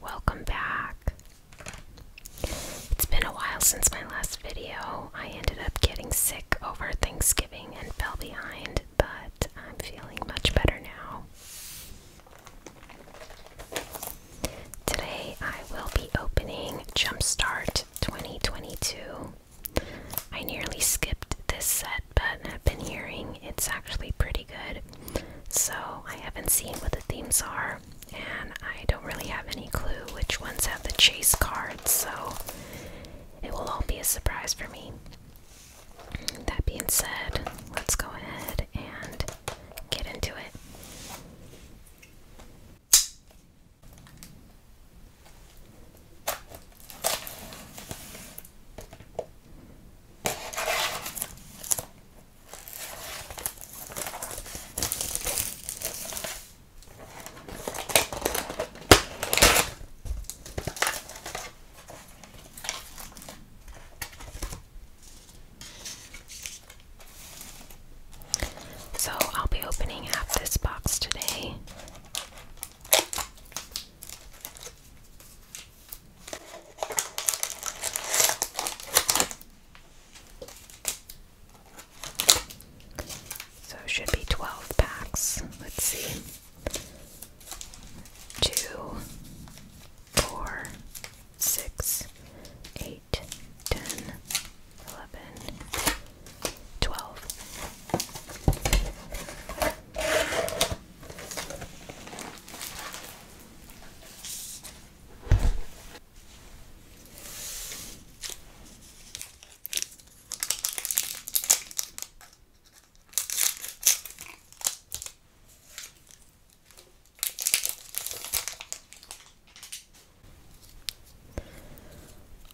Welcome back. It's been a while since my last video. I ended up getting sick over Thanksgiving and fell behind, but I'm feeling much better now. Today I will be opening Jumpstart 2022. I nearly skipped this set but I've been hearing it's actually pretty good. So I haven't seen what the themes are, and I don't really have any clue which ones have the chase cards, so it will all be a surprise for me. That being said, let's go ahead and get into it. So, I'll be opening up this box today. So should be 12 packs. Let's see. Two, four, six, eight, ten, eleven, twelve.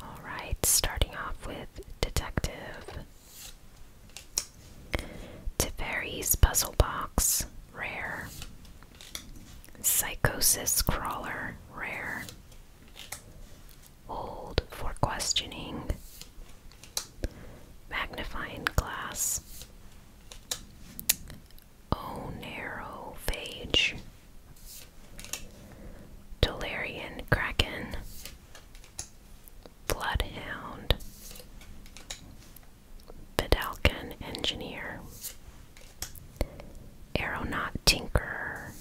All right, starting off with Detective Teferi's Puzzle Box, rare. Psychosis Crawler, rare. Old for questioning. Magnifying glass. Oh, narrow phage. Dolarian Kraken. Bloodhound. Fidelcan engineer, aeronaut tinkerer,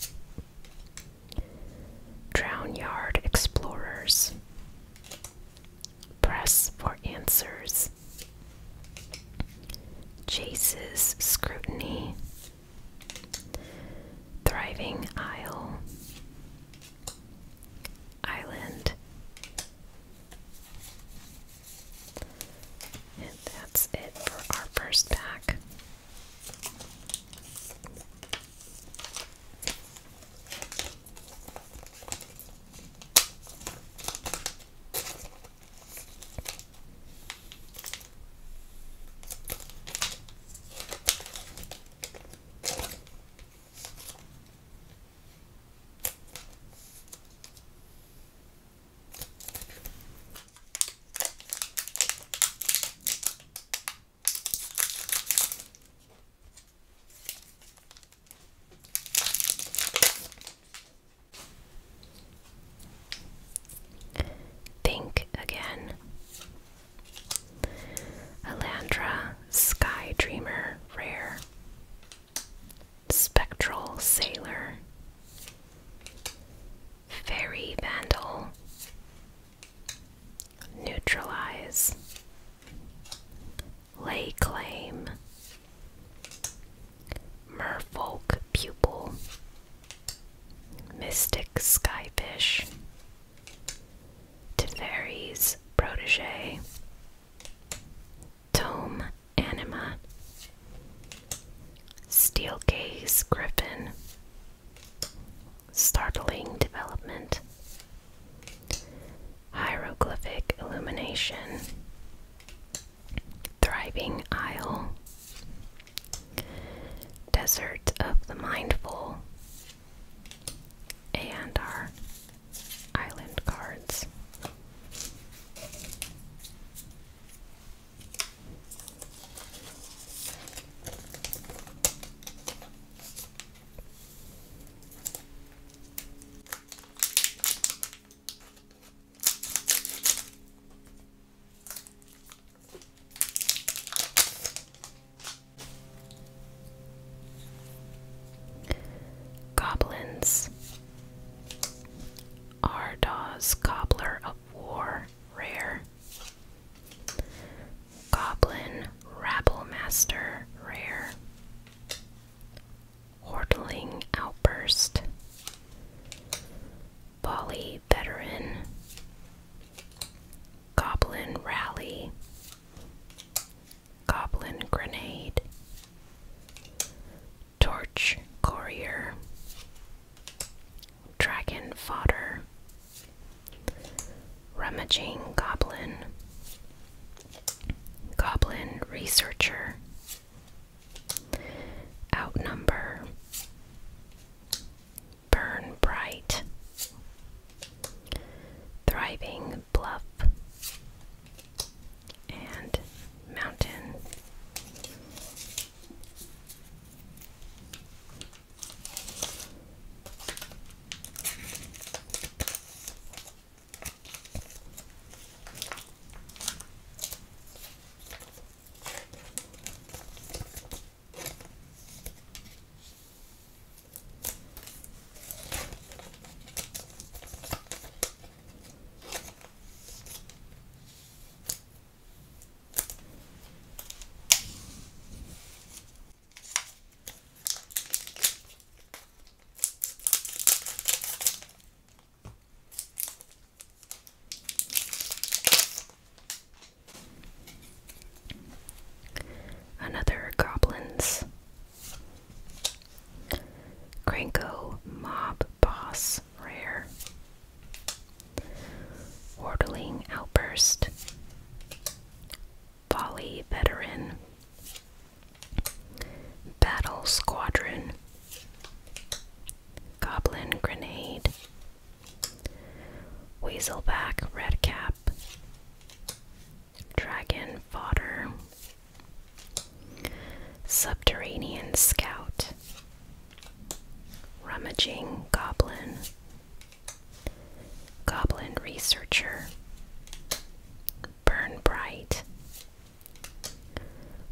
drown yard explorers, press for answers, chases scrutiny, thriving isle, island, and that's it for our first pack. Think again. Elandra Sky Dreamer Rare Spectral Sailor, Fairy Vandal, Neutralize, Lay Claim, Merfolk Pupil, Mystic Skyfish, Teferi's Protege, Tome Anima Steel Gaze Griffin Startling Development Hieroglyphic Illumination Thriving Isle Desert of the Mindful and our island cards. Goblins. Ardaw's Cobbler of War, rare. Goblin Rabble Master, rare. Hortling Outburst. Volley Veteran. Goblin Rally. Goblin Grenade, Torch Courier, Dragon Fodder, Rummaging Goblin, Goblin Researcher, Outnumber, Burn Bright, Thriving Bluff, and mountain. Another goblin's Cranko Mob Boss Rare. Wardling Outburst. Volley Veteran. Battle Squadron. Goblin Grenade. Weaselback cap. Dragon fodder. Subterranean scout. Rummaging goblin. Goblin researcher. Burn bright.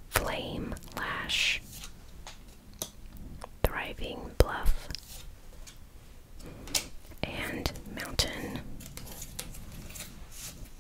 Flame lash. Thriving bluff. And mountain.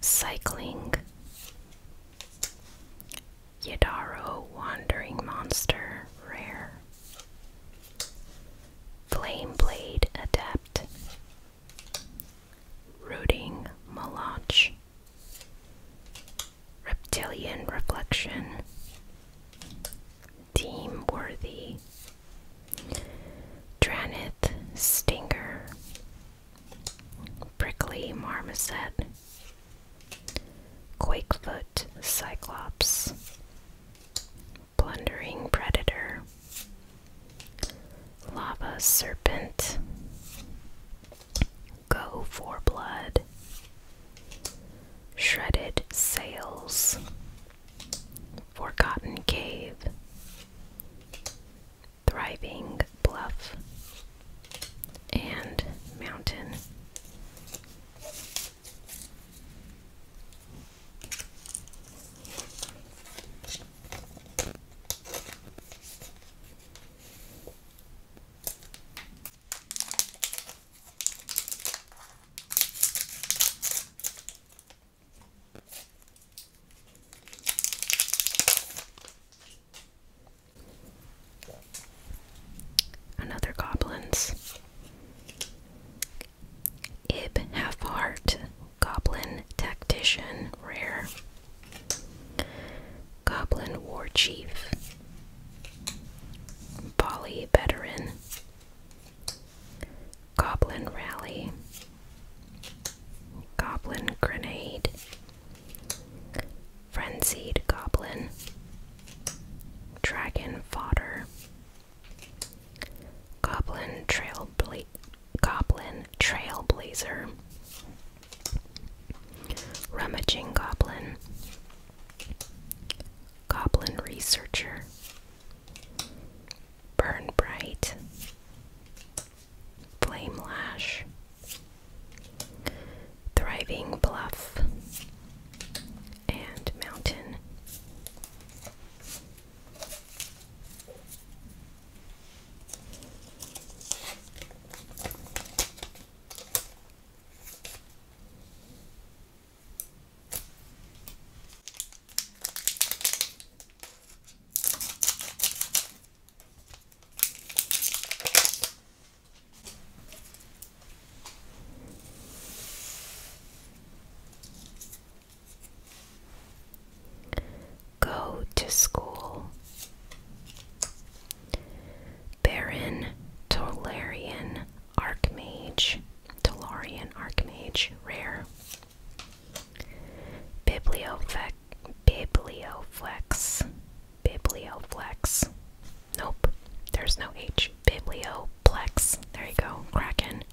Cycling Yedaro, Wandering Monster Rare Flame Blade Adept Rooting Malach Reptilian Reflection, Team Worthy, Dranith Stinger, Prickly Marmoset, Quakefoot Cyclops, Blundering Predator, Lava Serpent, Go for Blood, Shredded Sails, Forgotten Cave, Thriving Bluff, and Mountain. Another goblins. Ib Half Goblin Tactician, Rare. Goblin War Chief. Polly Veteran, Goblin Rally, Goblin Grenade, Frenzied Goblin, Dragon Fodder, Goblin Trail Goblin Trailblazer, Rummaging Goblin, Goblin Researcher, Burn Bright, Flame Lash, Thriving Bluff, and Mountain. Go to school. Baron Tolarian Archmage, Tolarian Archmage, rare. Biblioflex, Biblioflex, Biblioflex. Nope, there's no H. Biblioplex. There you go, Kraken.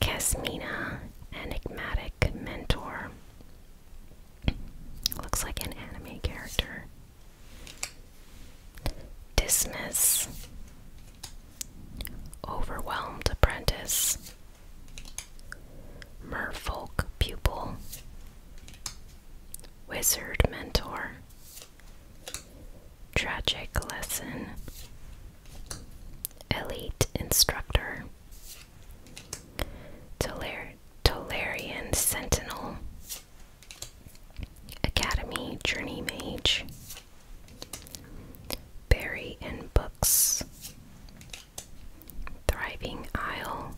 Casmina, Enigmatic Mentor. Looks like an anime character. Dismiss. Overwhelmed apprentice. Merfolk pupil. Wizard mentor. Tragic lesson. Elite instructor. Toler Tolarian sentinel. Academy Journey Mage, Berry and Books, Thriving Isle,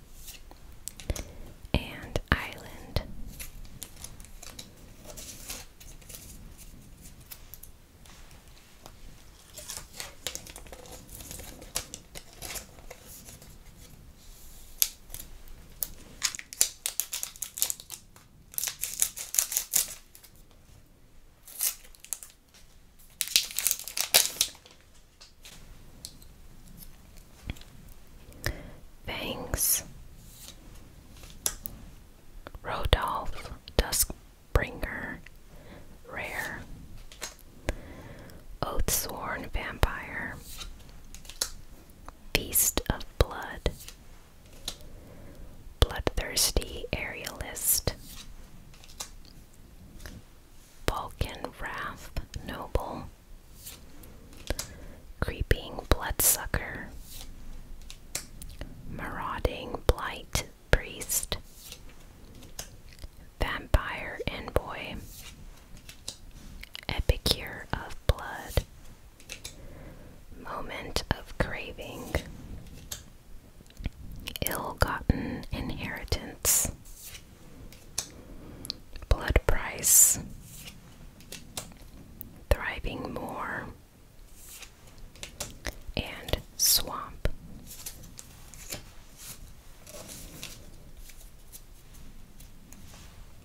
and Island. Banks Rodolph Duskbringer Rare oath-sworn Vampire Feast of Blood, Bloodthirsty Aerialist, Balkan Wrath Noble, Creeping Bloodsucker, Marauding Blight Priest, Vampire Envoy, Epicure of Blood, Moment of Craving, Ill Gotten Inheritance, Blood Price, Thriving More, and Swamp.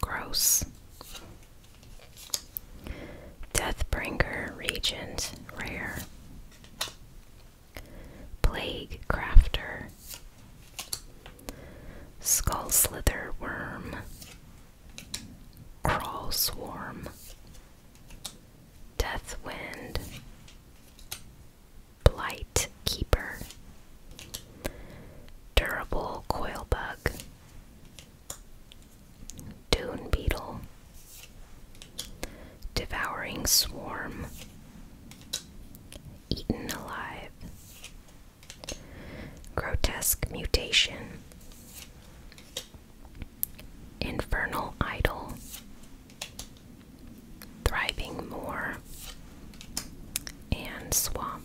Gross. Deathbringer Regent, rare. Plague Crafter. Skull Slither Worm. Crawl Swarm. Deathwind. Blight Keeper. Durable Coil Bug. Dune Beetle, Devouring Swarm, Eaten Alive, Grotesque Mutation, Infernal Idol, Thriving Moor, and Swamp.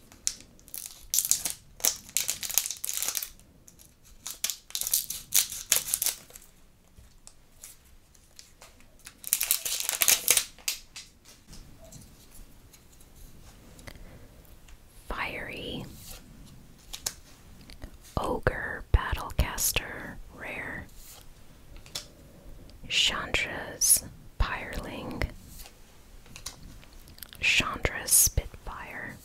Fiery Ogre Battlecaster Rare Chandra's Pyreling Chandra Spitfire,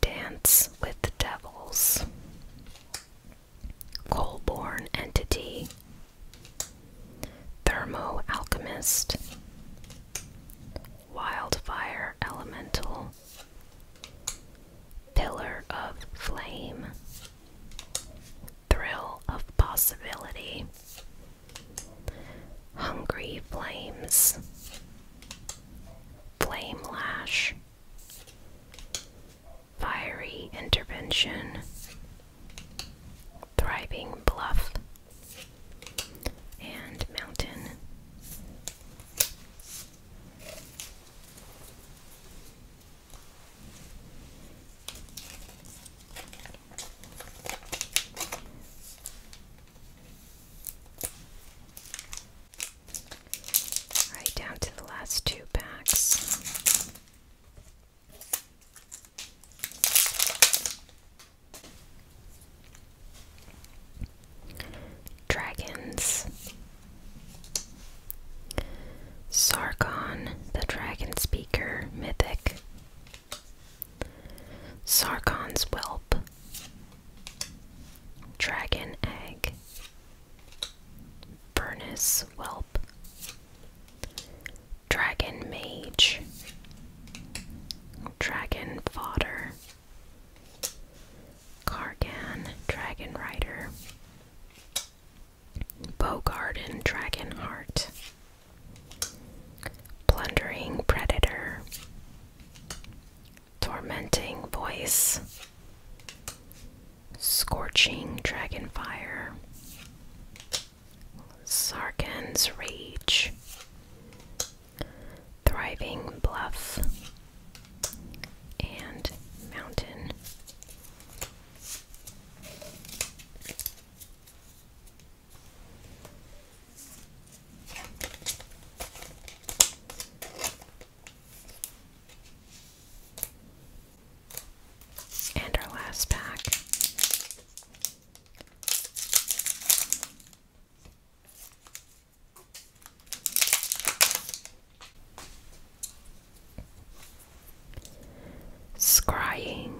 Dance with the Devils, Coalborn Entity, Thermo Alchemist, Wildfire Elemental, Pillar of Flame, Thrill of Possibility, Hungry Flames, Flame Lash, Fiery Intervention, Thriving Bluff, and Mountain. Right down to the last two packs. Dragons. Sargon, the Dragon Speaker, Mythic. Sarkon's Whelp, Dragon Egg, Furnace Whelp, Dragon Mage, Dragon Fodder, Cargan Dragon Rider, Bow Garden Dragon Heart. Plundering Predator, Tormenting Voice, Scorching Dragonfire, Sarkin's Rage, Thriving Bluff, and Mountain. And our last pack. Scrying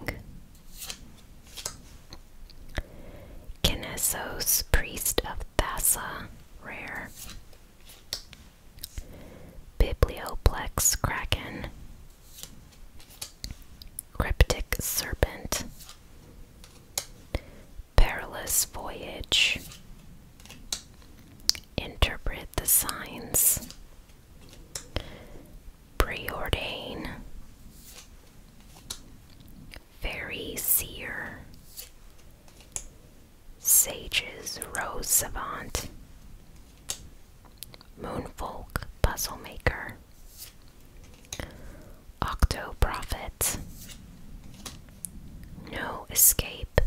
Kinesos, priest of Thassa, rare. Biblioplex Kraken. Cryptic Serpent. Perilous Voyage. Interpret the Signs preordain, fairy seer, sages rose savant, moonfolk puzzle maker, octo prophet, no escape,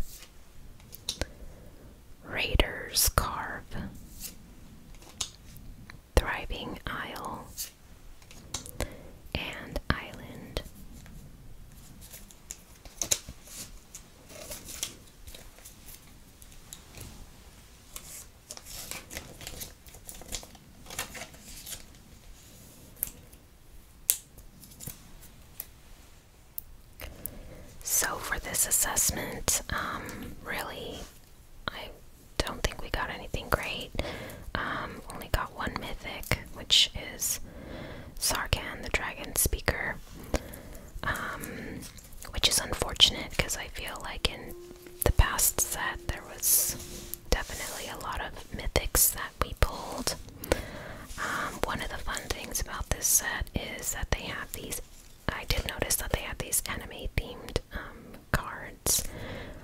raiders carve thriving isle and island. So, for this assessment, um, really I don't think we got anything great. Um, only got one mythic, which is Sarkan the dragon speaker. Um, which is unfortunate because I feel like in the past set there was definitely a lot of mythics that we pulled. Um, one of the fun things about this set is that they have these. I did notice that they have these anime themed cards.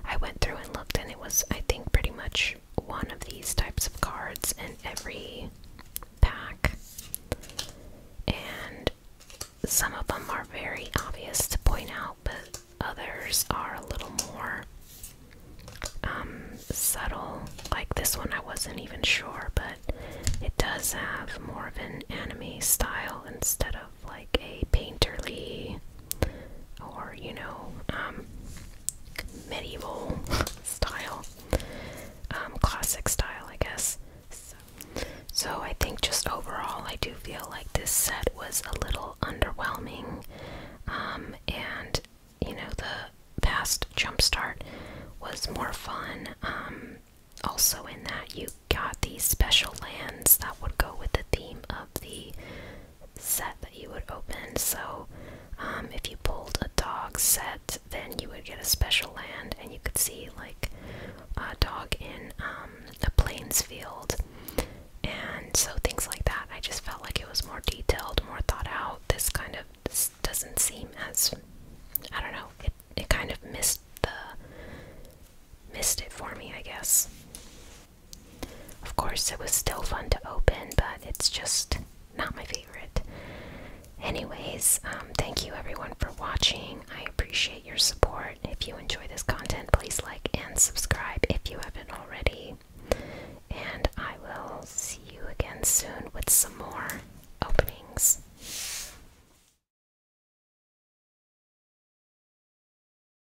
I went through and looked, and it was, I think, pretty much one of these types of cards in every pack. And some of them are very obvious to point out, but others are a little more um, subtle. Like this one, I wasn't even sure, but it does have more of an anime style instead of like a painterly or, you know, um, medieval style, um, classic style, I guess. So, I think just overall, I do feel like this set was a little underwhelming, um, and you know, the past jumpstart was more fun. also, in that you got these special lands that would go with the theme of the set that you would open. So, um, if you pulled a dog set, then you would get a special land, and you could see like a dog in um, a plains field, and so things like that. I just felt like it was more detailed, more thought out. This kind of doesn't seem as I don't know. It it kind of missed the missed it for me, I guess. Of course, it was still fun to open, but it's just not my favorite. Anyways, um, thank you everyone for watching. I appreciate your support. If you enjoy this content, please like and subscribe if you haven't already. And I will see you again soon with some more openings.